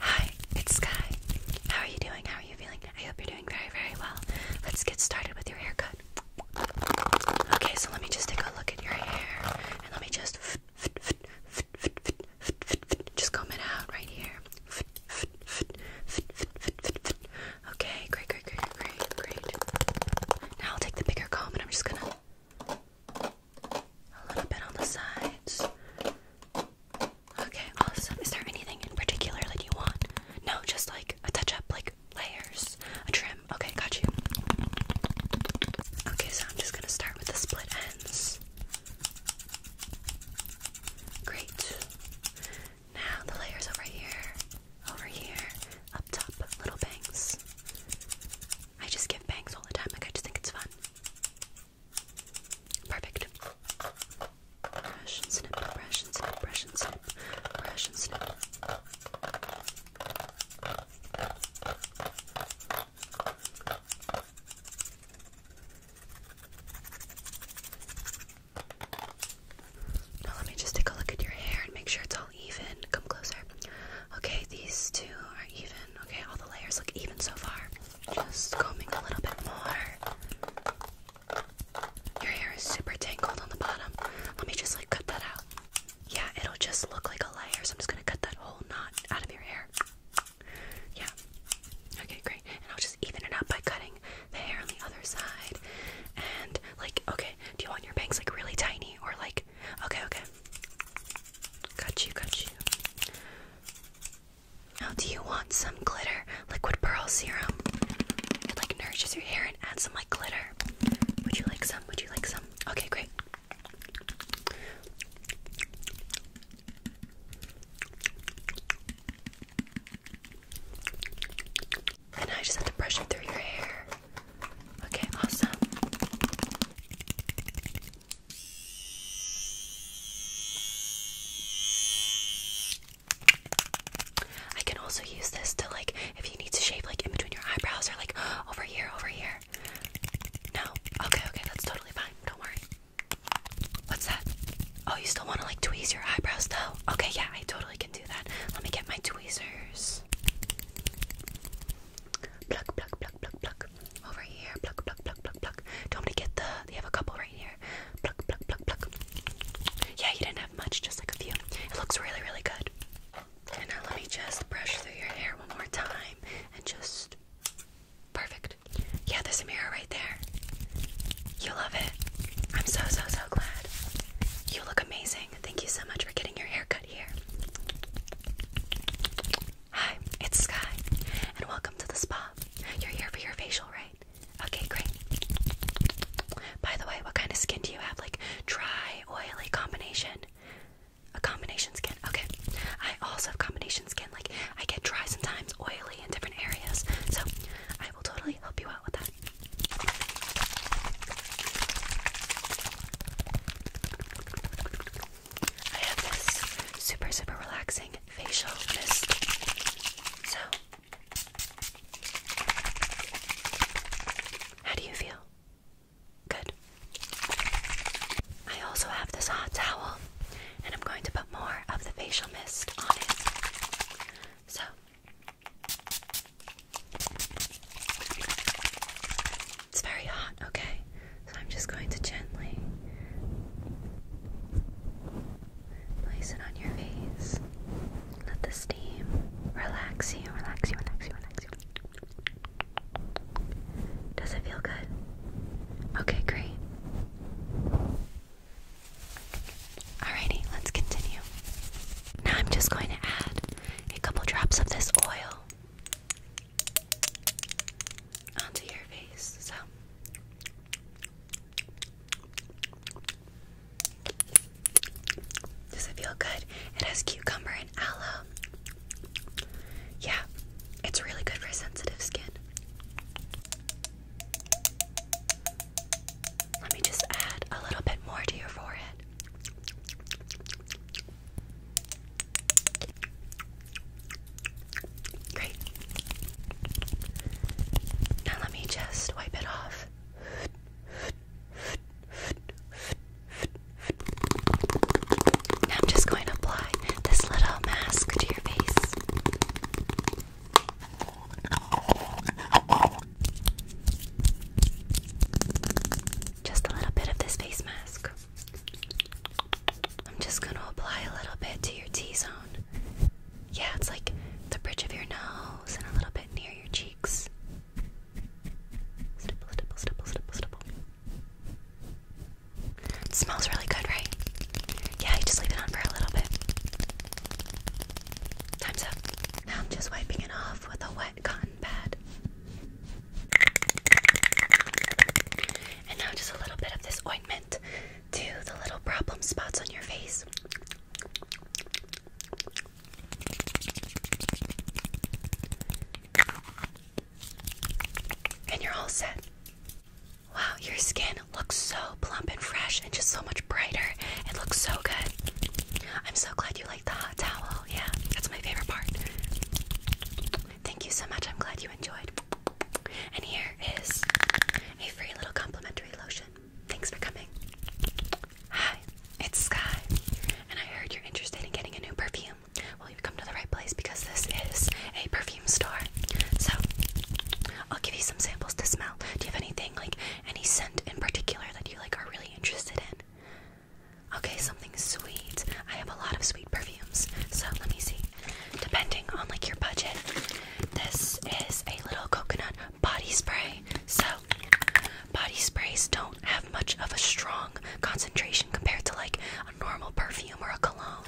Hi, it's Sky. How are you doing? How are you feeling? I hope you're doing very, very well. Let's get started with your haircut. Okay, so let me just take a look at your hair and let me just just comb it out right here. Okay, great, great, great, great, great. Now I'll take the bigger comb and I'm just gonna a little bit on the sides. Okay, awesome. Is there anything in particular that you want? No, just like a touch up, like layers, a trim. Okay, got you. Okay, so I'm just gonna start with the split ends. Great. Now the layers over here, over here, up top, little bangs. I just give bangs all the time, like I just think it's fun. Perfect. Brush and snip, brush and snip, brush and snip, brush and snip. Now let me just take a look at your hair and make sure it's all even. Come closer. Okay, these two are even. Okay, all the layers look even so far. Just combing a little bit more. Your hair is super tangled on the bottom. Let me just like cut that out. Yeah, it'll just look like a layer, so I'm just gonna cut that whole knot out of your hair. Yeah. Okay, great. And I'll just even it up by cutting the hair on the other side. And like, okay, do you want your bangs like really tiny or like okay, okay. Got you, got you. Now, do you want some glitter liquid pearl serum? It like nourishes your hair and adds some like glitter. Would you like some? Would you like some? Okay, great. And I just have to brush it through your hair. Okay, awesome. I can also use this to like if you need to shave like in between your eyebrows or like over here, over here. No? Okay, okay, that's totally fine. Don't worry. What's that? Oh, you still want to like tweeze your eyebrows though? Okay, yeah, I totally can do that. Let me get my tweezers. Pluck, pluck, pluck, pluck, pluck. Over here. Pluck, pluck, pluck, pluck, pluck. Don't get the. They have a couple right here. Pluck, pluck, pluck, pluck. Yeah, you didn't have much, just like a few. It looks really, really good. And now let me just brush through your hair one more time and just. Perfect. Yeah, there's a mirror right there. You love it. I'm so, so, so glad. You look amazing. Thank you so much for getting your hair cut here. Hi, it's Sky, and welcome to the spa. You're here for your facial, right? Okay, great. By the way, what kind of skin do you have? Like dry, oily combination? A combination skin. Okay. I also have combination skin. Like I get dry sometimes, oily in different areas. So I will totally help you out with that. I have this super, super relaxing facial mist. So, how do you feel? Good. I also have this hot towel, and I'm going to put more of the facial mist on it. So, it's very hot, okay? So I'm just going to gently place it on your face. Let the steam relax you, relax you, relax you, relax you. Does it feel good? Okay, great. Alrighty, let's continue. Now I'm just going to add a couple drops of this oil onto your face. So does it feel good? It has cucumber and aloe. Yeah, it's really good for sensitive skin. Let me just add a little bit more to your forehead. Great. Now let me just wipe it off. I'm just going to apply this little mask to your face. Just a little bit of this face mask. I'm just going to apply a little bit to your T zone. Yeah, it's like the bridge of your nose and a little bit near your cheeks. Stipple, stipple, stipple, stipple, stipple. smells really good, right? Yeah, you just leave it on for a little bit. Time's up. Now I'm just wiping it off with a wet cotton pad. And now just a little bit of this ointment to the little problem spots on your face. And you're all set. Wow, your skin looks so plump and fresh and just so much brighter. It looks so good. I'm so glad you like the hot towel. Yeah, that's my favorite part. Thank you so much. I'm glad you enjoyed. And here is a free little complimentary lotion. Thanks for coming. Hi, it's Sky, and I heard you're interested in getting a new perfume. Well, you've come to the right place because this is a perfume store. So, I'll give you some samples to smell. Do you have anything like any scent in particular that you like are really interested in? Okay, something sweet. I have a lot of sweet perfumes, so let me see. Depending on like your budget, this is a little coconut body spray. So body sprays don't have much of a strong concentration compared to like a normal perfume or a cologne,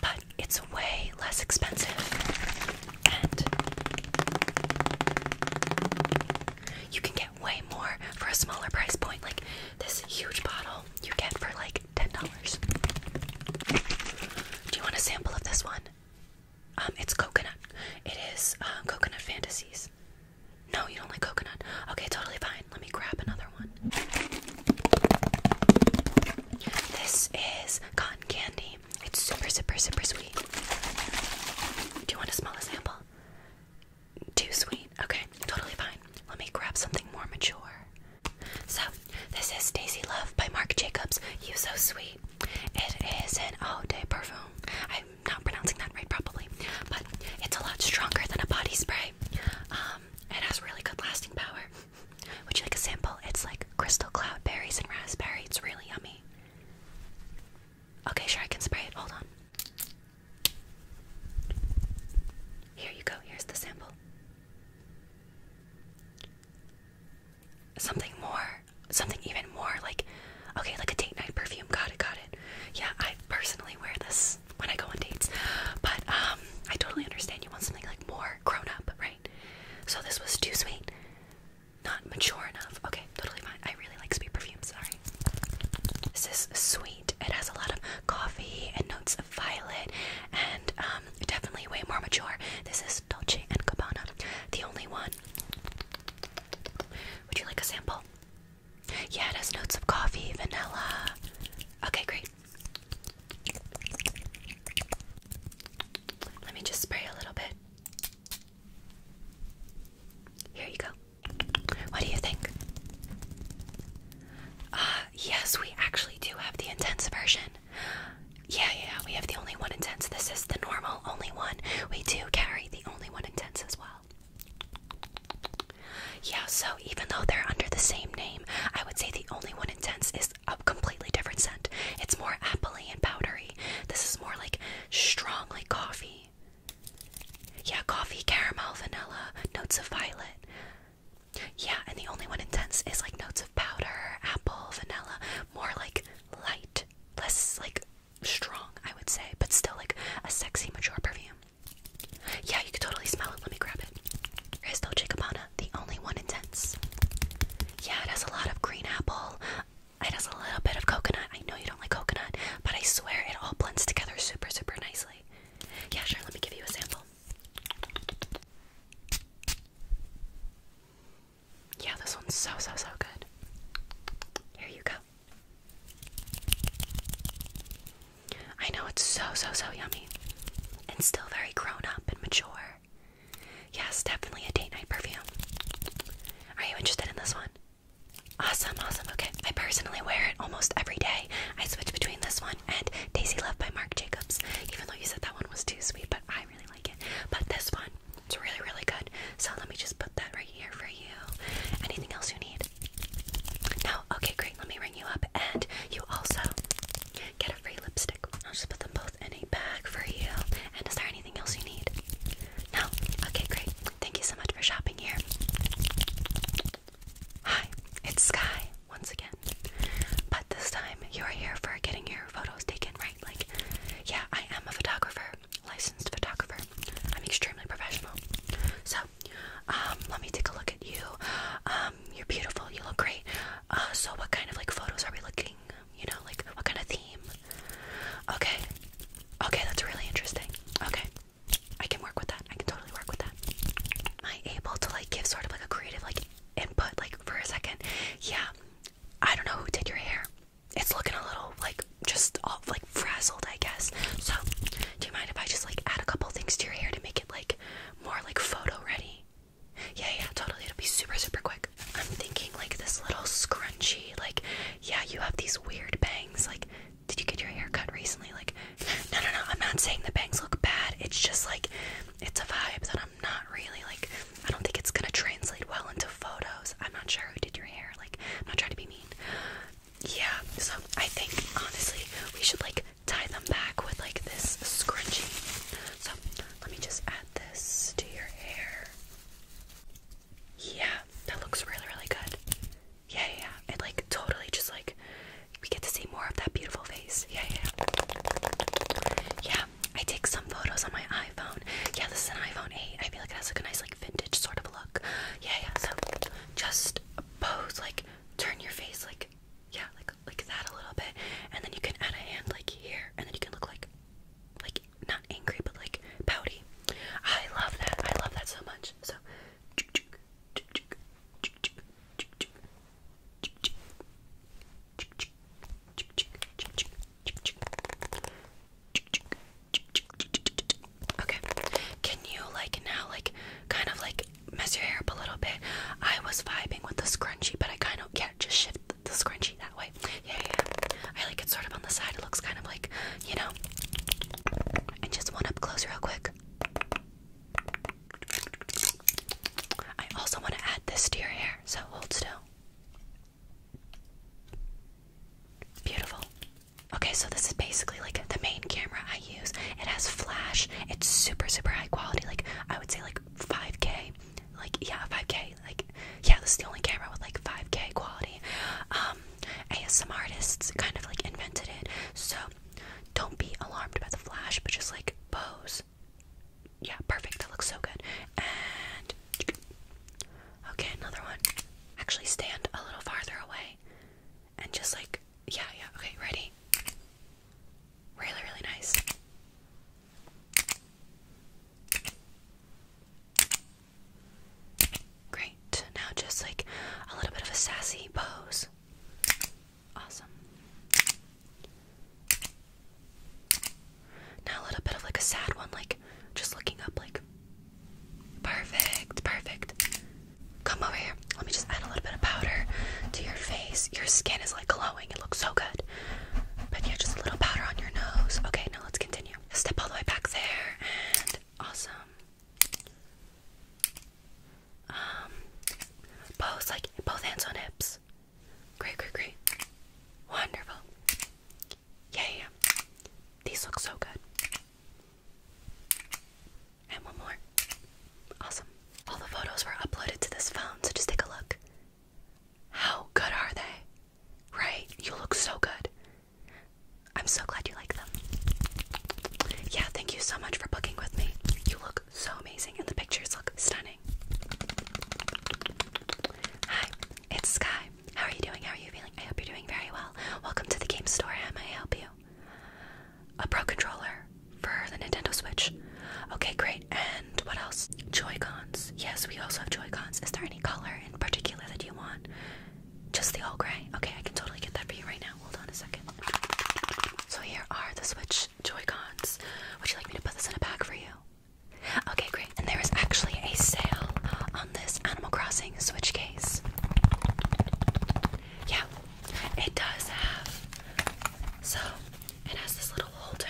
but it's way less expensive and you can get way more for a smaller price point. Like this huge bottle you get for like $10. Do you want a sample of this one? Um, it's coconut. It is uh, coconut fantasies. No, you don't like coconut. Okay, totally fine. Let me grab another one. This is cotton candy. It's super, super, super sweet. Do you want to smell a sample? Too sweet. Okay, totally fine. Let me grab something more mature. So, this is Daisy Love by Marc Jacobs. You So Sweet. It is an eau de parfum. I'm not pronouncing that right, probably, but it's a lot stronger than a body spray. Um, it has really good lasting power. Would you like a sample? It's like crystal cloud berries and raspberry. It's really yummy. Okay, sure, I can spray it. Hold on. Here you go. Here's the sample. Something more, something even more like, okay, like a date night perfume. Got it, got it. Yeah, I personally wear this when I go on dates, but um, I totally understand you want something like more grown up, right? So this was too sweet. Not mature enough. Okay, totally fine. I really like sweet perfumes. sorry. This is sweet. It has a lot of coffee and notes of violet and um definitely way more mature. This is Dolce and Gabbana. The only one. Would you like a sample? Yeah, it has notes of coffee, vanilla. Okay, great. Let me just spray a little bit. Here you go. What do you think? Uh, yes, we actually do have the intense version. Yeah, yeah, we have the only one intense. This is the normal only one. We do carry the only one intense as well. Yeah, so even though they're under the same name, I would say the only one intense is a completely different scent. It's more appley and powdery. This is more like strong like coffee. Yeah, coffee, caramel, vanilla, notes of violet. Yeah, and the only one intense is like notes of powder, apple, vanilla, more like light, less like strong, I would say, but still like a sexy, mature perfume. Yeah, you could totally smell it. Let me grab it. Crystal Chicabana, the only one intense. Yeah, it has a lot of green apple, it has a little bit of coconut. I know you don't like coconut, but I swear it all blends together super, super nicely. Yeah, sure, let me give you a sample. Yeah, this one's so, so, so good. Here you go. I know it's so, so, so yummy and still very grown up and mature. Yes, definitely a date night perfume. Are you interested in this one? Awesome, awesome. Okay, I personally wear it almost every day. I switch between this one and Daisy Love by Marc Jacobs, even though you said that one was too sweet, but I really like it. But this one, it's really, really good. So let me just put that right here for you. Anything else you need? No? Okay, great. Let me ring you up. And you also get a free lipstick. I'll just put them both in a bag for you. And is there anything else you need? No? Okay, great. Thank you so much for shopping here. Hi, it's Sky once again. But this time you're here for getting your photos taken, right? Like, yeah, I am a photographer, licensed photographer. I'm extremely professional. So, um, let me take a look at you. Um, you're beautiful, you look great. Uh, so what kind of like photos are we looking? You know, like what kind of theme? Okay. Okay, that's really interesting. Okay. I can work with that. I can totally work with that. Am I able to like give sort of like a creative like input like for a second? Yeah. I don't know who did your hair. It's looking a little like just all like frazzled, I guess. So, do you mind if I just like add a couple things to your hair to make it like more like photo ready? Yeah, yeah, totally. It'll be super, super quick. I'm thinking like this little scrunchie. Like, yeah, you have these weird bangs. Like, did you get your hair cut recently? Like, no, no, no. I'm not saying the bangs look bad. It's just like, it's a vibe that I'm not really like. I don't think it's gonna translate well into photos. I'm not sure who did your hair. Like, I'm not trying to be mean. Yeah, so I think honestly, we should like tie them back with like this scrunchie. So let me just add this to your hair. Yeah, that looks really, really good. Yeah, yeah, yeah. It like totally just like we get to see more of that beautiful face. Yeah, yeah. Yeah, I take some photos on my iPhone. Yeah, this is an iPhone 8. I feel like it has like a nice like vintage sort of look. Yeah, yeah. So just pose like turn your face like yeah, like like that a little bit, and then you can add a hand like here, and then you can look like like not angry but like pouty. I love that. I love that so much. So Okay. Can you like now like kind of like mess your hair up a little bit? I was vibing with the scrunchie, but I kind of can't just shift the scrunchie that way. Yeah, yeah. I like it sort of on the side. It looks kind of like, you know. And just one up close, real quick. I also want to add this to your hair, so hold still. Beautiful. Okay, so this is basically like the main camera I use. It has flash. It's super, super high quality. Like I would say, like 5K like yeah 5k like yeah this is the only camera with like 5k quality um asm artists kind of like invented it so don't be alarmed by the flash but just like pose yeah perfect that looks so good and okay another one actually stand a little farther away and just like yeah yeah okay ready really really nice Great. Now just like a little bit of a sassy pose. Awesome. Now a little bit of like a sad one, like just looking up, like perfect, perfect. Come over here. Let me just add a little bit of powder to your face. Your skin is like glowing. It looks so good. But yeah, just a little powder on your nose. Okay, now let's continue. Step all the way back there, and awesome. Um, both like both hands on hips. Great, great, great. Wonderful. Yeah, These look so good. And one more. Awesome. All the photos were uploaded to this phone, so just take a look. How good are they? Right? You look so good. I'm so glad you like them. Yeah, thank you so much for booking with me. You look so amazing, and the pictures look stunning. Hi, it's Sky. How are you doing? How are you feeling? I hope you're doing very well. Welcome to the game store. How may I help you? A pro controller for the Nintendo Switch. Okay, great. And what else? Joy-Cons. Yes, we also have Joy-Cons. Is there any color in particular that you want? Just the all gray? Okay, I can totally get that for you right now. Hold on a second. So here are the Switch Joy-Cons. Would you like me to put this in a bag for you? Okay, great. And there is actually a sale on this Animal Crossing Switch case. Yeah, it does have. So it has this little holder,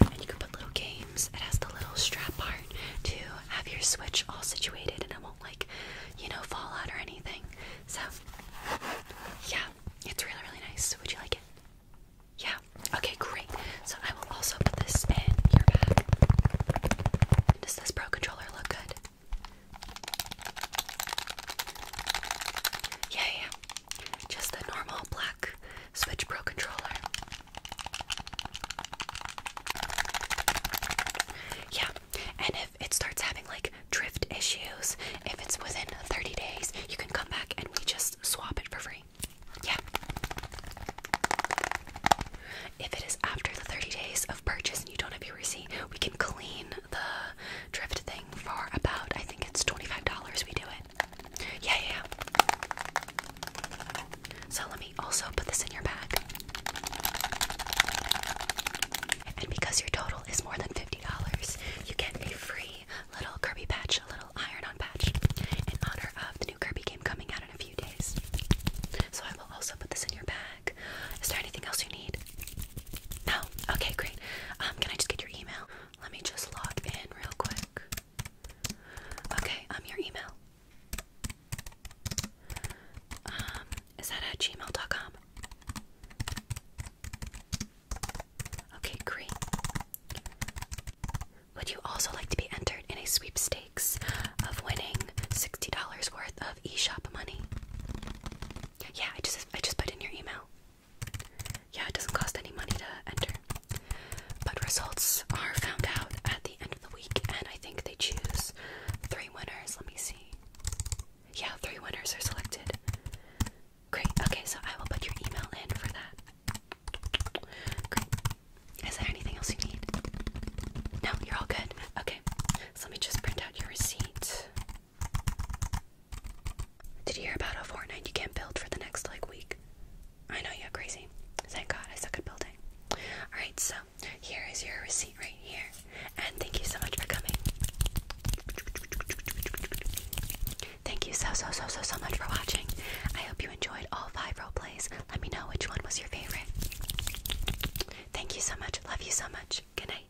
and you can put little games. It has the little strap part to have your Switch all situated, and it won't like, you know, fall out or anything. So, yeah, it's really really nice. Would you like it? Yeah. Okay, great. So I will also put this in your bag. Does this Pro controller look good? Yeah, yeah. Just a normal black Switch Pro controller. Yeah, and if it starts having like drift issues, if it's within 30 days, you can come back and we just swap it for free. Yeah. If it is after the 30 days of purchase and you don't have your receipt, we can clean the drift thing for about I think it's $25 we do it. Yeah, yeah. So let me also put this in your bag. And because your total is more than $50, you get a free little Kirby patch, a little iron-on patch in honor of the new Kirby game coming out in a few days. So I will also put this in your bag. Is there anything else you need? No? Okay, great. Um, can I just get your email? Let me just log in real quick. Okay, I'm um, your email. Um, is that at gmail.com? Okay, great. Would you also like to be entered in a sweepstakes of winning $60 worth of eShop money? Yeah, I just I just put in your email. Yeah, it doesn't cost any money to enter. But results are found out at the end of the week, and I think they choose three winners. Let me see. Yeah, three winners are selected. Great. Okay, so I will put your email in for that. Great. Is there anything else you need? No, you're all good. Okay, so let me just print out your receipt. Did you hear about how Fortnite you can't build for the next like week? I know you're crazy. Thank God I suck at building. Alright, so here is your receipt right here. And thank you so much for coming. Thank you so so so so so much for watching. I hope you enjoyed all five role plays. Let me know which one was your favorite. Thank you so much. Love you so much. Good night.